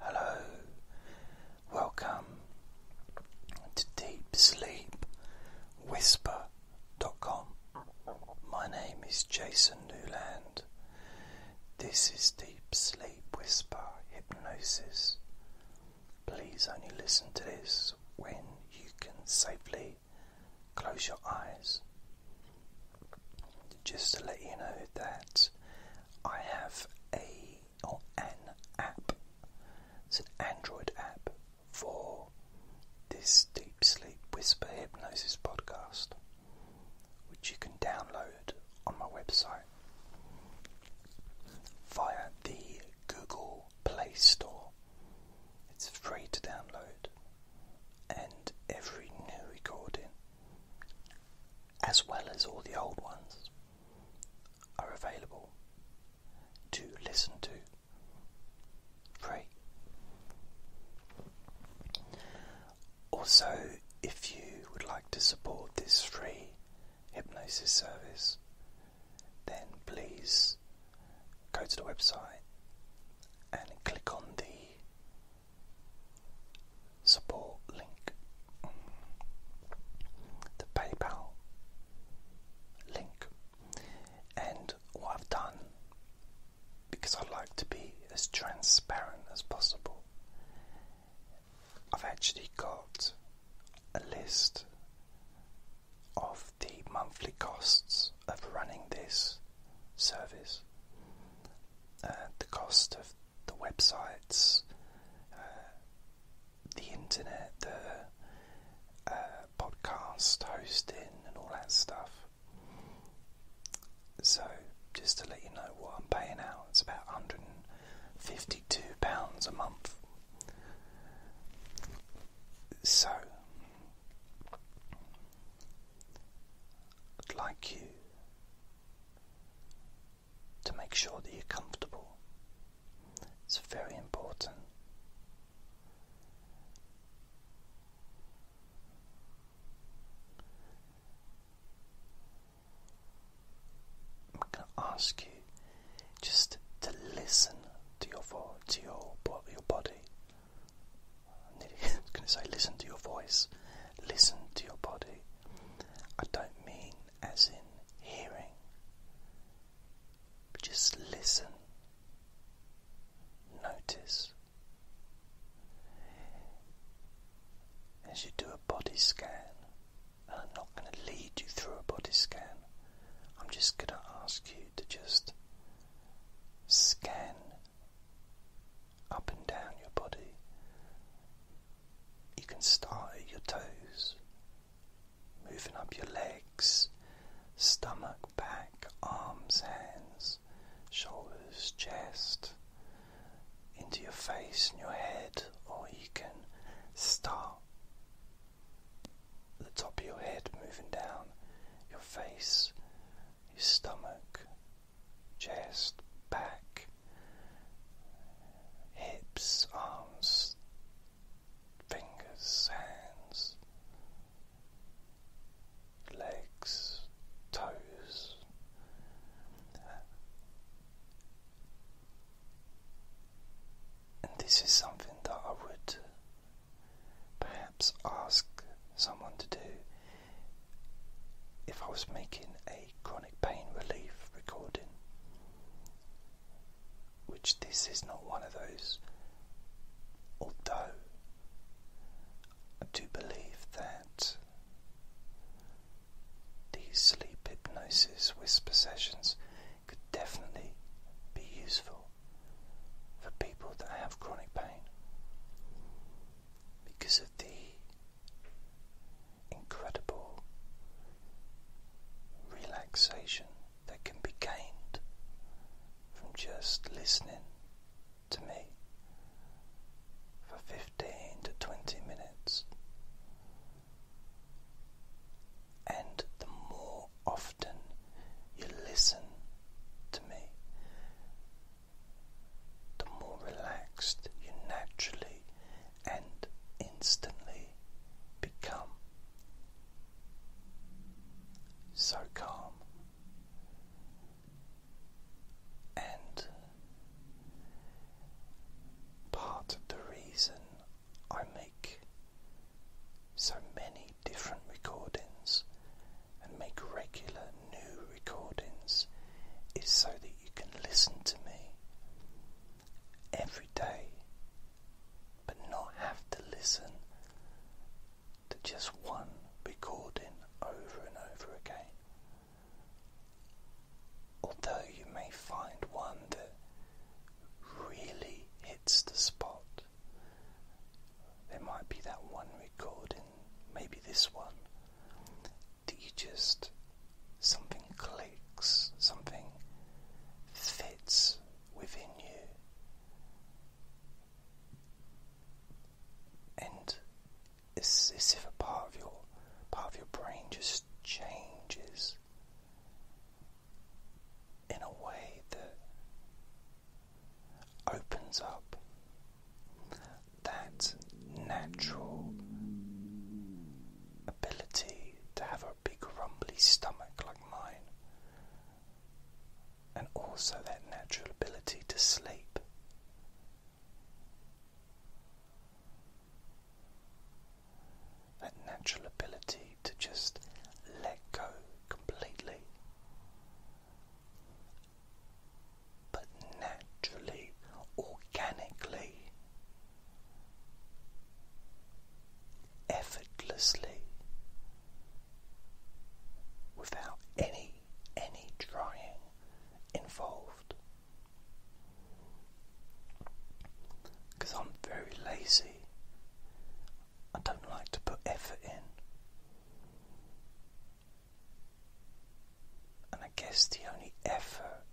Hello, welcome to Deep Sleep DeepSleepWhisper.com. My name is Jason Newland. This is Deep Sleep Whisper Hypnosis. Please only listen to this when you can safely close your eyes just to let you know that I have a or an app. It's an Android app for this Deep Sleep Whisper Hypnosis podcast, which you can download on my website via the Google Play Store. It's free to download, and every new recording as well as all the old ones, are available to listen to free. Also, if you would like to support this free hypnosis service, then please go to the website and click on the support link, the PayPal link, and what I've done because I like to be as transparent as possible. I've actually got a list of the monthly costs of running this service. and uh, the cost of the websites, uh, the internet, the uh, podcast hosting, and all that stuff. So, just to let you know what I'm paying out, it's about £152 a month. So, like you to make sure that you're comfortable. It's very important. I'm ask you just to listen to your to your your body. I was going to say listen to your voice, listen to your body. I don't mean as in hearing, but just listen, notice. As you do a body scan, and I'm not going to lead you through a body scan, I'm just going to ask you to just scan up and down your body. You can start at your toes, moving up your legs, stomach, back, arms, hands, shoulders, chest, into your face and your head, or you can start at the top of your head, moving down your face your stomach, chest, back, hips, arms, fingers, hands, legs, toes. And this is something that I would perhaps ask someone to do if I was making a chronic pain relief recording, which this is not one of those, although I do believe that these sleep hypnosis whisper sessions could definitely be useful for people that have chronic pain because of the incredible relaxation that can be gained from just listening to me for 15 to 20 minutes. And the more often you listen to me, the more relaxed you naturally and instantly become. So calm and part of the reason I make so many different recordings and make regular new recordings is so that you can listen to me every day but not have to listen to just one recording over and over again. Although you may find one that really hits the spot, there might be that one recording maybe this one, that you just something clicks, something fits within you, and it's as if a part of your part of your brain just changes in a way that opens up. That natural ability to have a big rumbly stomach like mine, and also that natural ability to sleep. That natural ability to just let go completely but naturally, organically, effortlessly, without any any trying involved. Because I'm very lazy. I don't like to put effort in. And I guess the only effort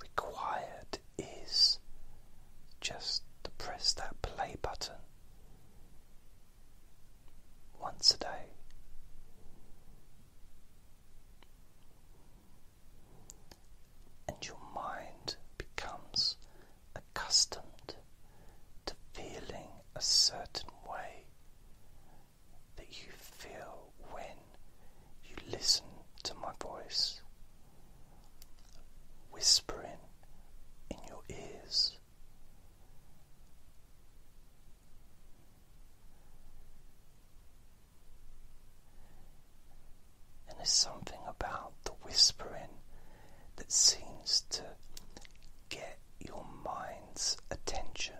required is just to press that play button once a day. And your mind becomes accustomed to feeling a certain way that you feel when you listen to my voice whispering in your ears. And there's something about the whispering that seems to get your mind's attention.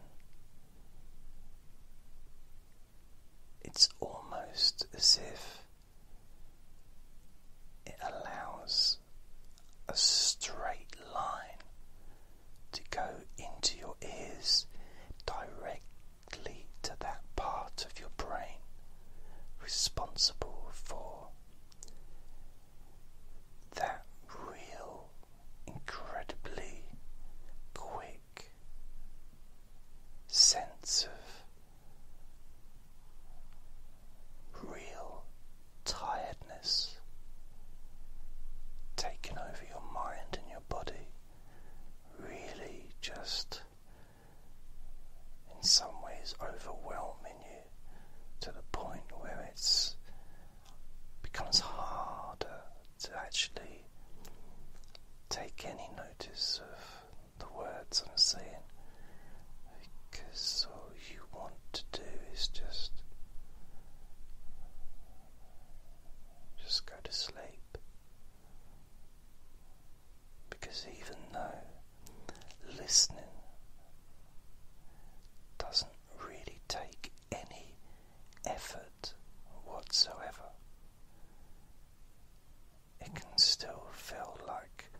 It's almost as if it allows a straight line to go into your ears directly to that part of your brain responsible for that real, incredibly quick sense of real tiredness taking over your mind and your body, really just in some ways overwhelming you to the point where it's becomes harder to actually take any notice of the words I'm saying because all you want to do is just just go to sleep because even though listening doesn't really take any effort whatsoever. It can still feel like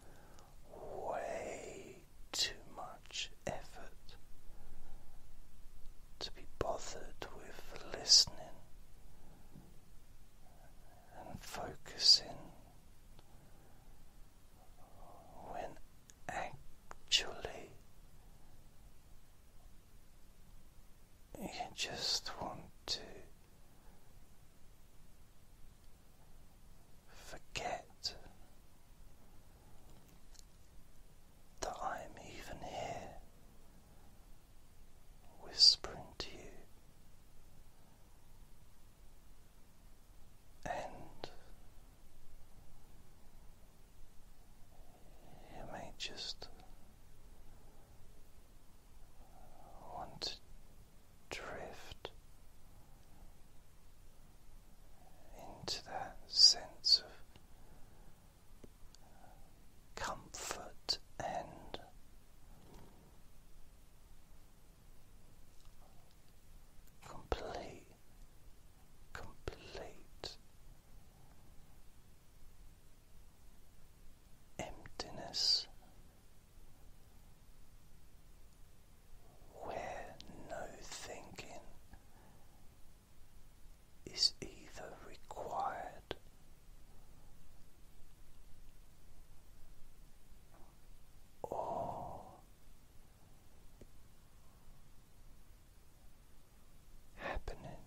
way too much effort to be bothered with listening and focusing when actually you just want to forget that I'm even here whispering to you and you may just want to drift into that sense of comfort and complete, complete emptiness where no thinking is either required or happening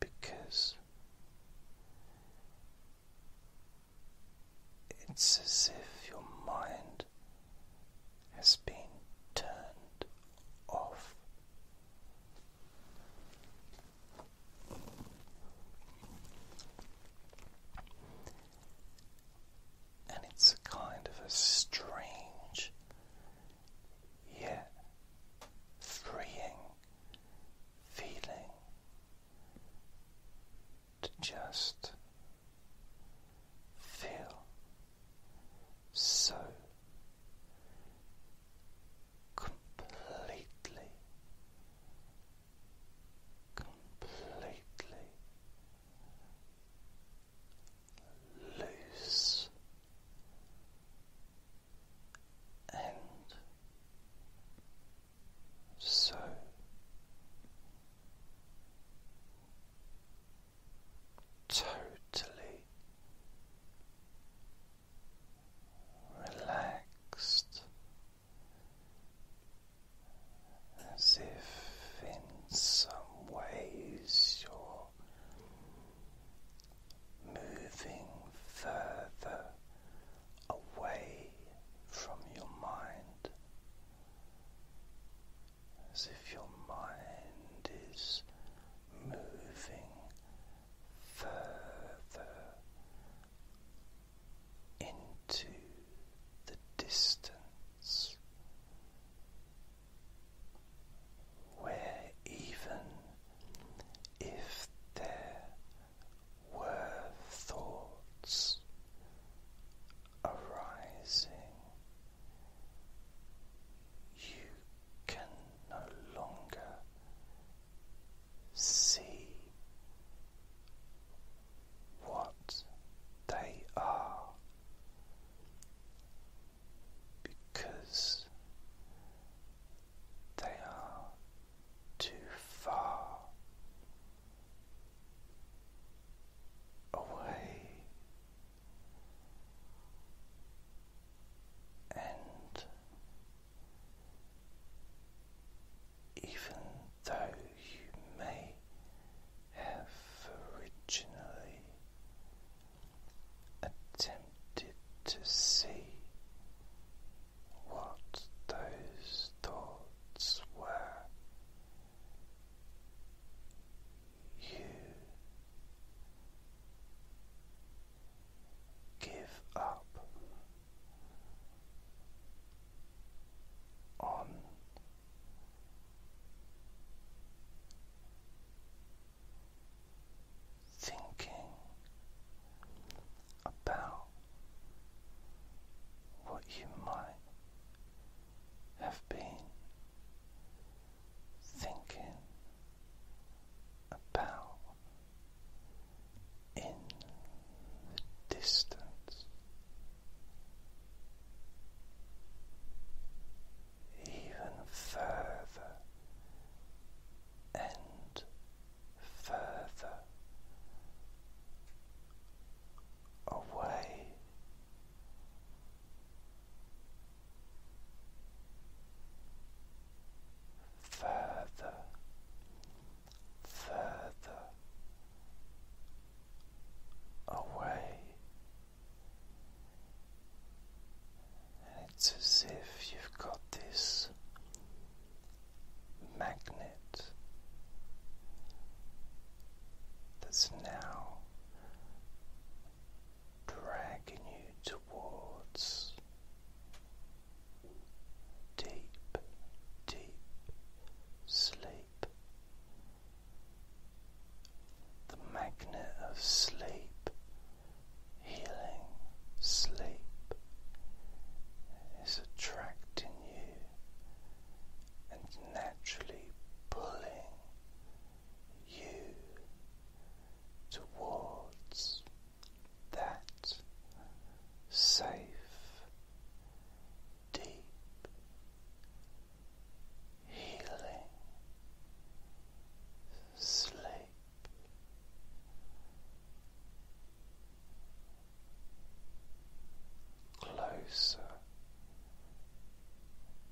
because it's as if your mind has been turned off. And it's a kind of a strange yet freeing feeling to just feel so completely completely loose and so totally relaxed as if in some ways you're moving further away from your mind. As if your mind is moving further into the distance where even if there were thoughts arising, you can no longer see what they are because they are too far away and even though you may have originally attempted to see what those thoughts were, you give up on thinking about what you might have been thinking about in the distance, even further and further away further, further away, and it's as if you've got this magnet that's now dragging you towards deep, deep sleep. The magnet of sleep, healing sleep, is attracting you and naturally pulling you towards that safe, deep healing sleep. Closer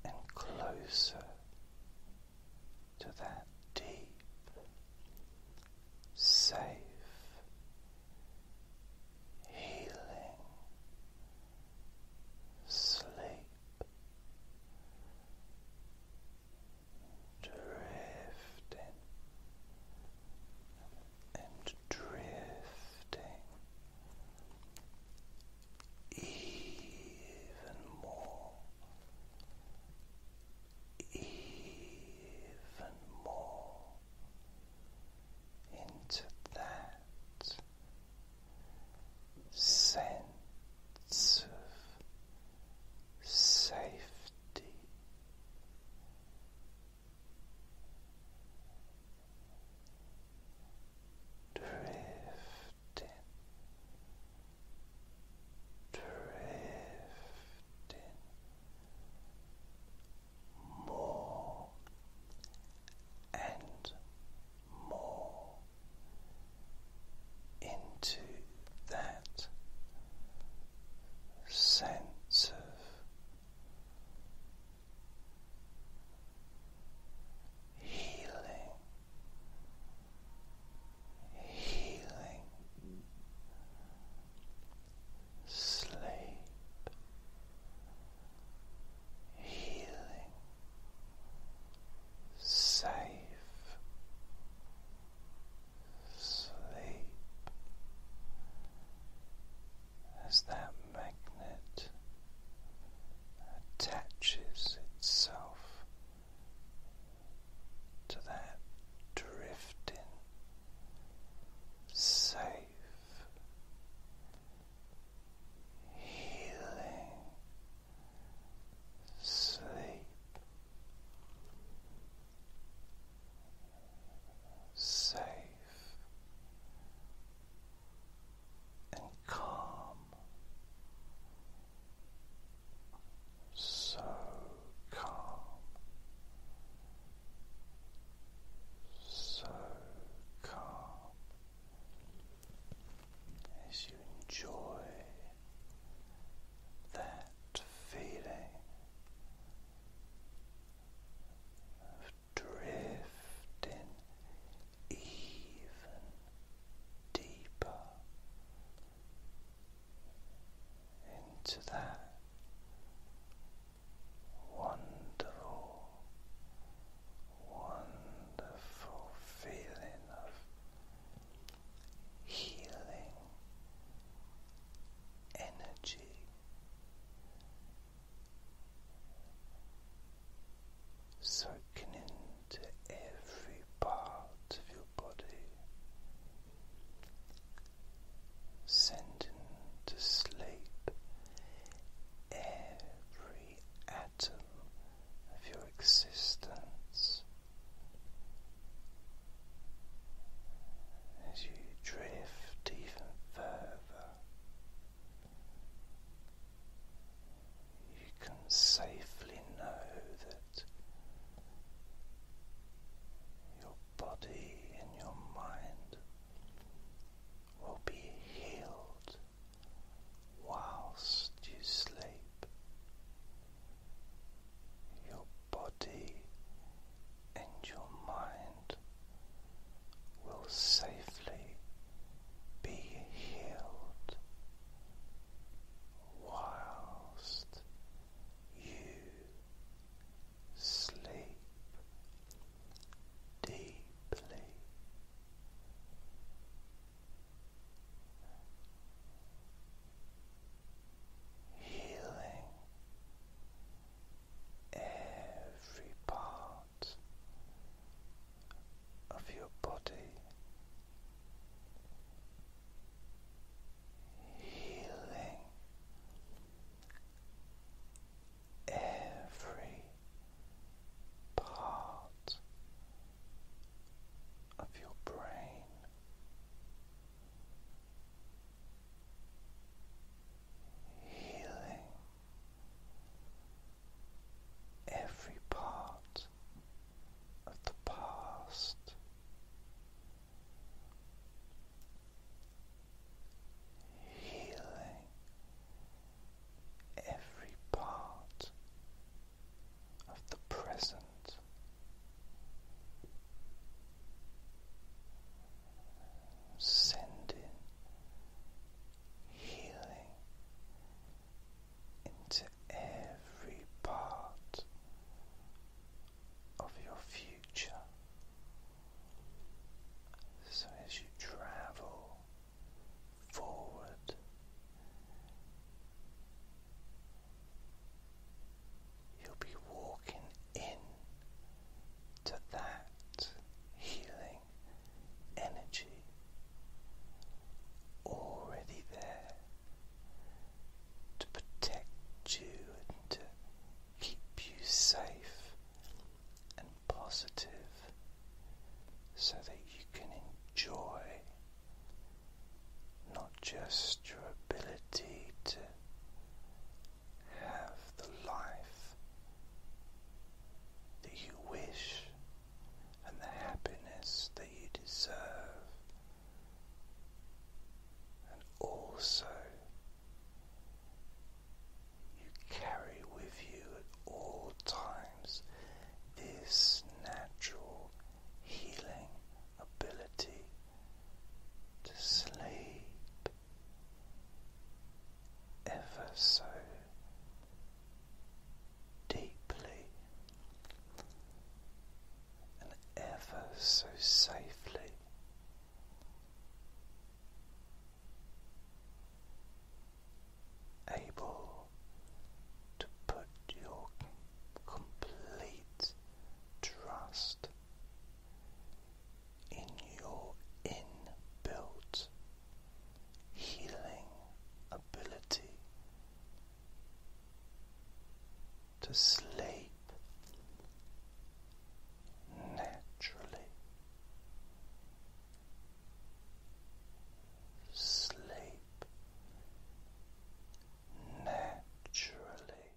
and closer to that deep, safe, healing sleep, drifting and drifting. Even more even more into that sense of safety. Drift drifting, drifting more and more into that sense of. Healing healing sleep healing safe sleep as that magnet attaches itself to that drifting, safe, healing sleep. Safe and calm so calm, so calm as you enjoy that feeling drifting even deeper into that wonderful, wonderful feeling of healing energy soaking into every part of your body, sending to sleep every atom of your existence as you drift even further you can safely know that your body and your mind will be healed whilst you sleep. Your body and your mind will safely be healed whilst you sleep deeply. Healing every part of your body healing every part of your brain. Healing every part of the past. Healing every part of the present, sending healing into every part of your future. So as you travel forward, you'll be walking in to that healing energy already there to protect you and to keep you safe and positive so that you can enjoy not just your ability to have the life that you wish and the happiness that you deserve, and also you carry with you at all times this natural healing ability to sleep ever so deeply and ever so safely. Able to put your complete trust in your inbuilt healing ability to sleep naturally. Sleep naturally.